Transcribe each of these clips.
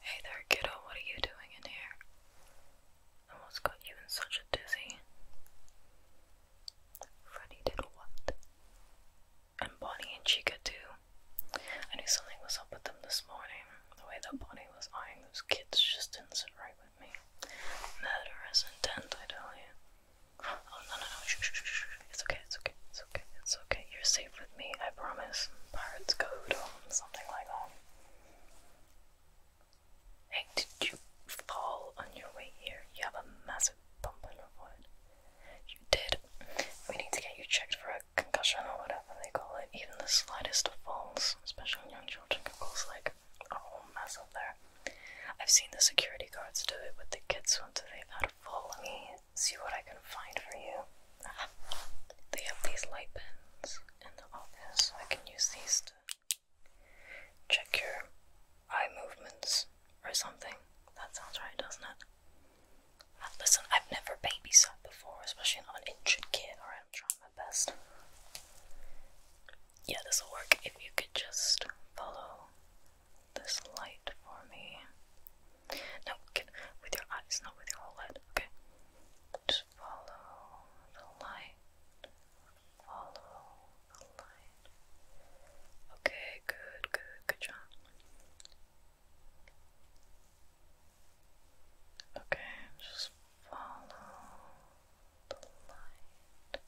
Hey there, kiddo, what are you doing in here? And what's got you in such a dizzy? Freddy did what? And Bonnie and Chica too. I knew something was up with them this morning. The way that Bonnie was eyeing those kids just didn't sit right with me. Murderous intent, I tell you. Oh no no no! It's okay. It's okay. It's okay. It's okay. You're safe with me. I promise. Pirates code something like that. Hey, did you fall on your way here? You have a massive bump on your foot. You did. We need to get you checked for a concussion or whatever they call it. Even the slightest falls, especially in young children, can cause like a whole mess up there. I've seen the security guards do it with the kids once they've had a fall. Let me see what I can find for you. Ah, they have these light pens in the office. I can use these to check your eye movements or something. That sounds right, doesn't it? Ah, listen, I've never babysat before, especially not an injured kid. Alright, I'm trying my best yeah, this will work if you could just follow this light for me. No, with your eyes, not with your whole Okay. Just follow the light. Follow the light. Okay, good, good, good job. Okay, just follow the light.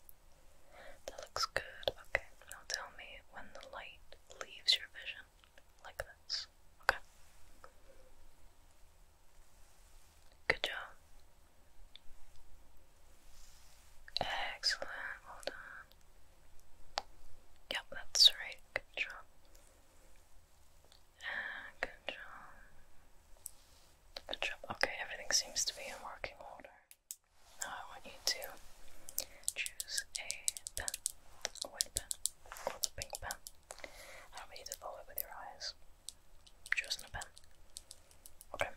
That looks good. Okay, now tell me when the light leaves your vision, like this. Okay. Good job. Excellent. Well done. Yep, that's right. Good job. good job. Good job. Okay, everything seems to be in working order. Now I want you to choose a pen, a white pen, or the pink pen. I want you to follow it with your eyes. i a pen. Okay.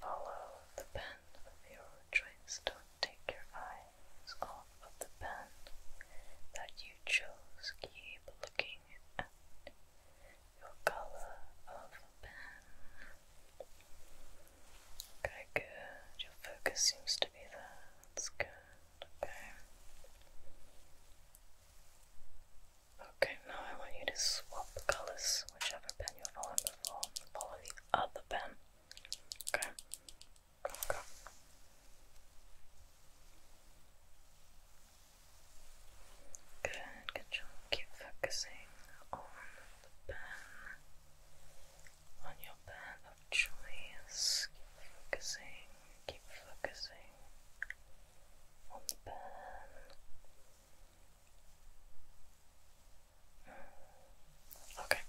follow the pen your choice. Don't take your eyes off of the pen that you chose. Keep looking at your color of pen. Okay, Your focus seems to be there. That's good. Okay. Okay, now I want you to swap colors, whichever pen you're following before, and the other pen. Okay. Okay. Good, good job. Keep focusing on the pen, on your pen of choice. Keep focusing, keep focusing on the pen. Okay,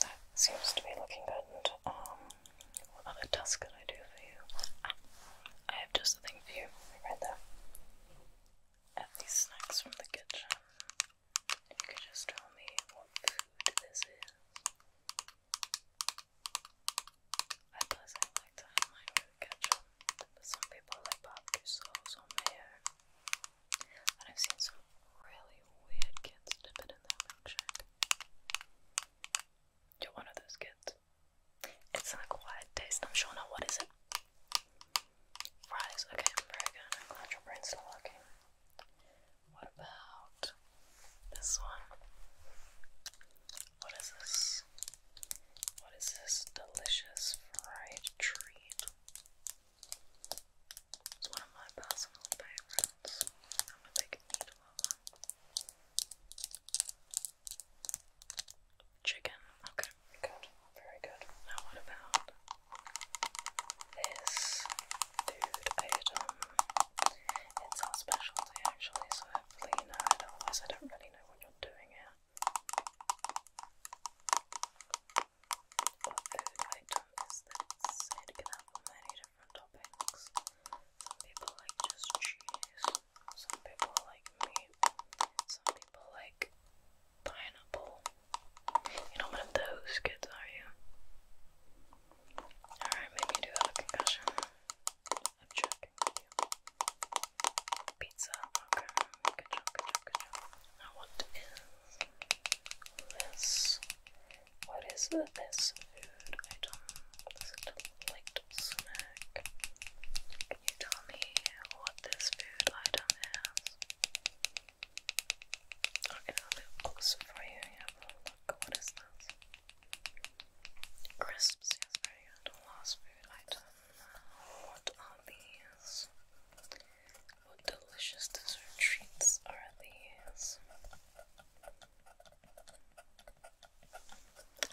that seems to be looking good. Um, what other task can I do for you? I have just the thing for you right there. At these snacks from the kitchen. You could just tell me what food this is. I personally like to have mine with ketchup, but some people like barbecue sauce or mayo. And I've seen some really weird kids dip it in their milkshake. You're one of those kids. It's an acquired taste. I'm sure not. What is it? Fries. Okay, very good. glad your brain's still working. What about this one? What is this? What is this delicious fried treat? It's one of my personal favorites. I'm a big eater of Chicken. Okay, good. Very good. Now what about this food item? It's our specialty actually, so hopefully you otherwise I don't really know what you're doing here. food item is can have many different toppings. people like just cheese. Some people like me. Some people like pineapple. You're not those kids, are you? Alright, maybe you have a concussion. I'm checking you. Pizza, okay. what is this? What is this food item? snack. Can you tell me what this food item is? Okay, I'll look for you. Yeah, but look, oh what is this? Crisps, yes, very good. Last food item. What are these? What delicious dessert treats are these?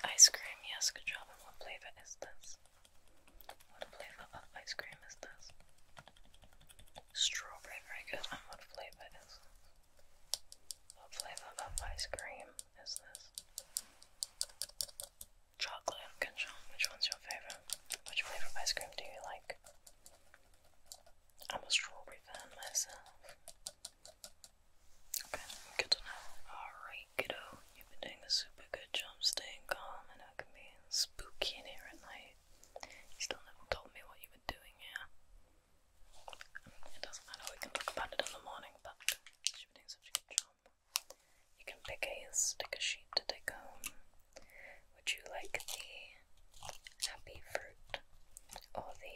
Ice cream, yes, good job. And what flavor is this? What flavor of ice cream is this? Strawberry, very good. And what flavor is What flavor of ice cream is this? Chocolate, good job. Which one's your favorite? Which flavor of ice cream do you like? I'm a strawberry fan myself. Okay, good Alright, kiddo. You've been doing a super good job staying calm, and it can be spooky in here at night. You still have told me what you were doing here. it doesn't matter, we can talk about it in the morning, but you've been doing such a good job. You can pick a sticker sheet to take home. Would you like the happy fruit or the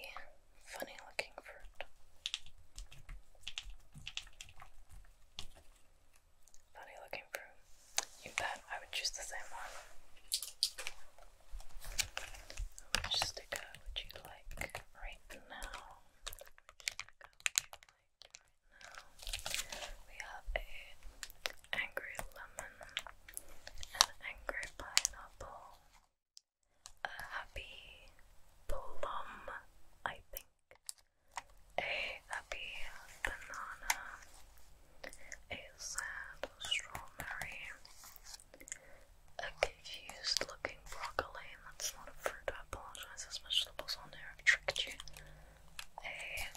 funny looking fruit. Funny looking fruit. You bet I would choose the same one. Which sticker would you like right now? We have a angry lemon, an angry pineapple, a happy plum, I think, a happy banana, a sad strawberry, a confused looking broccoli, that's not a fruit, I apologize, there's vegetables on there, I've tricked you, a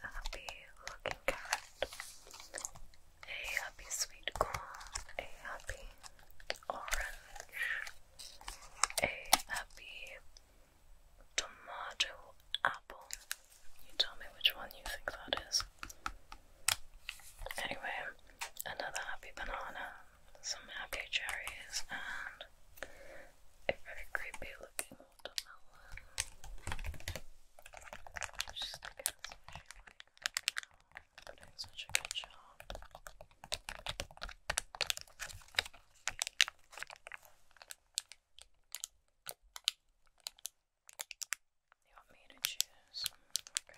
happy looking carrot, a happy sweet corn, a happy orange, a happy tomato apple. You tell me which one you think that is. Anyway, another happy banana, some happy cherries, and a very creepy looking watermelon. Just stick it in you want me to choose? Okay,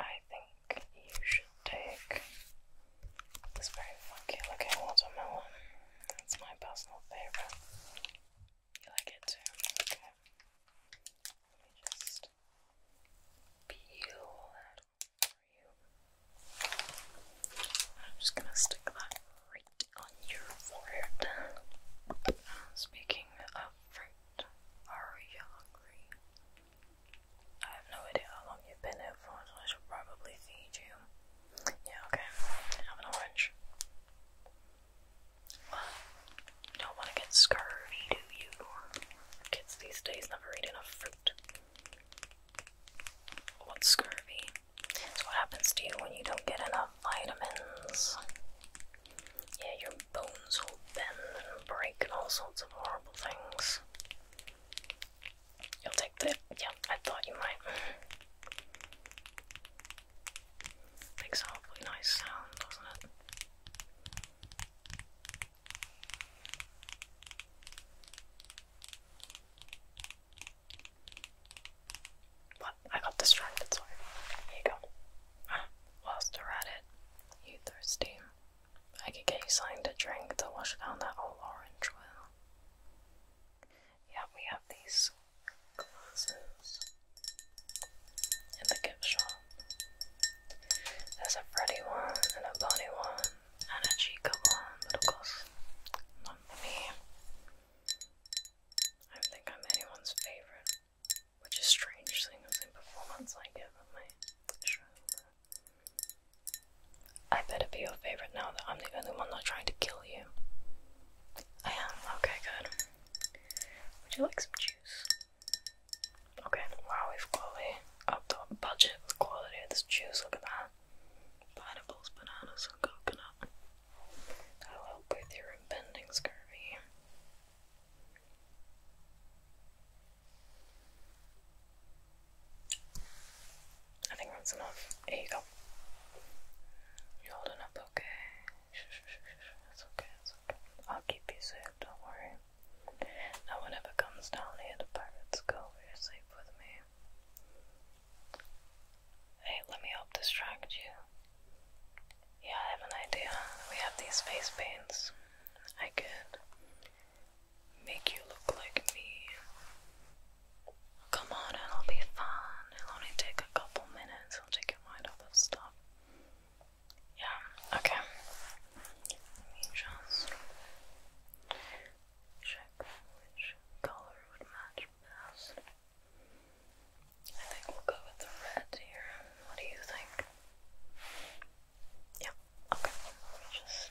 I think you should take this very funky looking watermelon. That's my personal favorite. You like it too? Okay. Let me just peel that for you. I'm just gonna stick that right on your forehead. Uh, speaking of fruit, are you hungry? I have no idea how long you've been here for, so I should probably feed you. Yeah, okay. Have an orange don't want to get scurvy, do you? Kids these days never eat enough fruit. What's scurvy? It's what happens to you when you don't get enough vitamins. Yeah, your bones will bend and break and all sorts of horrible things. You'll take the. Yeah, I thought you might. Makes a awfully nice sound, doesn't it? But I got distracted, sorry. Here you go. Ah, whilst at it, you thirsty. I could get you something to drink to wash down that old orange well. Yeah, we have these glasses in the gift shop. There's a Freddy one, and a Bonnie one, and a Chica one, but of course, not me. I don't think I'm anyone's favorite, which is strange seeing the same performance I give my show. I better be your favorite now that I'm the only one not trying to kill you. I am. Okay, good. Would you like some juice? Okay, wow, we've quality upped our budget with quality of this juice. Look at that. Pineapples, bananas, and coconut. That'll help with your impending scurvy. I think that's enough. Here you go. you holding up okay. It's okay, it's okay. I'll keep you safe, don't worry. Now, whenever comes down here to Pirate's Cove, you're with me. Hey, let me help distract you. Yeah, I have an idea. We have these face paints. I could make you look like me. Come on, it'll be fun. It'll only take a couple minutes. It'll take your mind off of stuff. Yeah, okay. Let me just check which color would match best. I think we'll go with the red here. What do you think? yeah. okay. Let me just.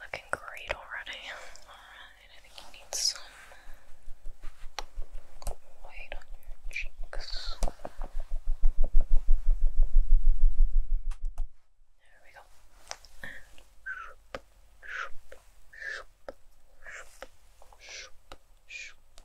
Looking great already. Alright, I think you need some white on your cheeks. There we go.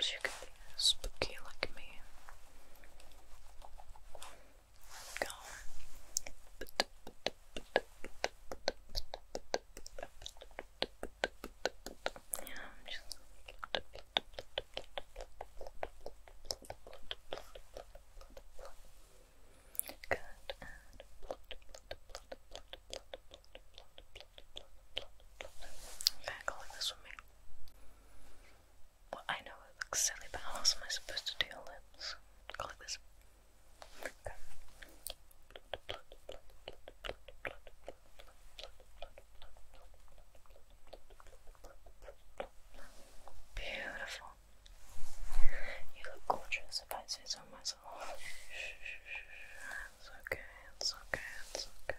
So you can be spooky like me. Yeah, I'm just Good and Okay, go like this with me. Well, I know it looks silly, but how else am I supposed to do your lips? Go like this. Okay. Beautiful. You look gorgeous if I say so myself. It's okay, it's okay, it's okay.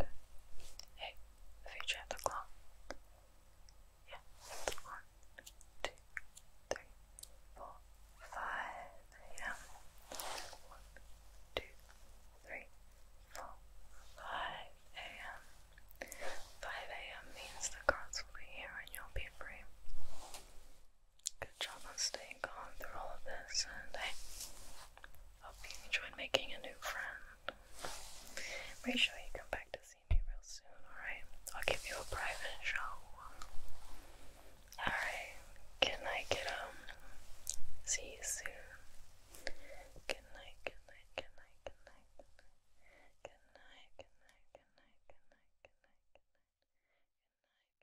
Okay. Hey, future at the clock. Yeah, one, two, three, four, five. Yeah. One, two, three, four, five a.m. Five a.m. means the cards will be here and you'll be free. Good job on staying calm through all of this, and I hope you enjoyed making a new friend. Make sure you come back to see me real soon, alright? I'll give you a private show. Alright, good night, kiddo. See you soon. good night. Good night, good night, good night, good night, good night, good night. Good night, good night.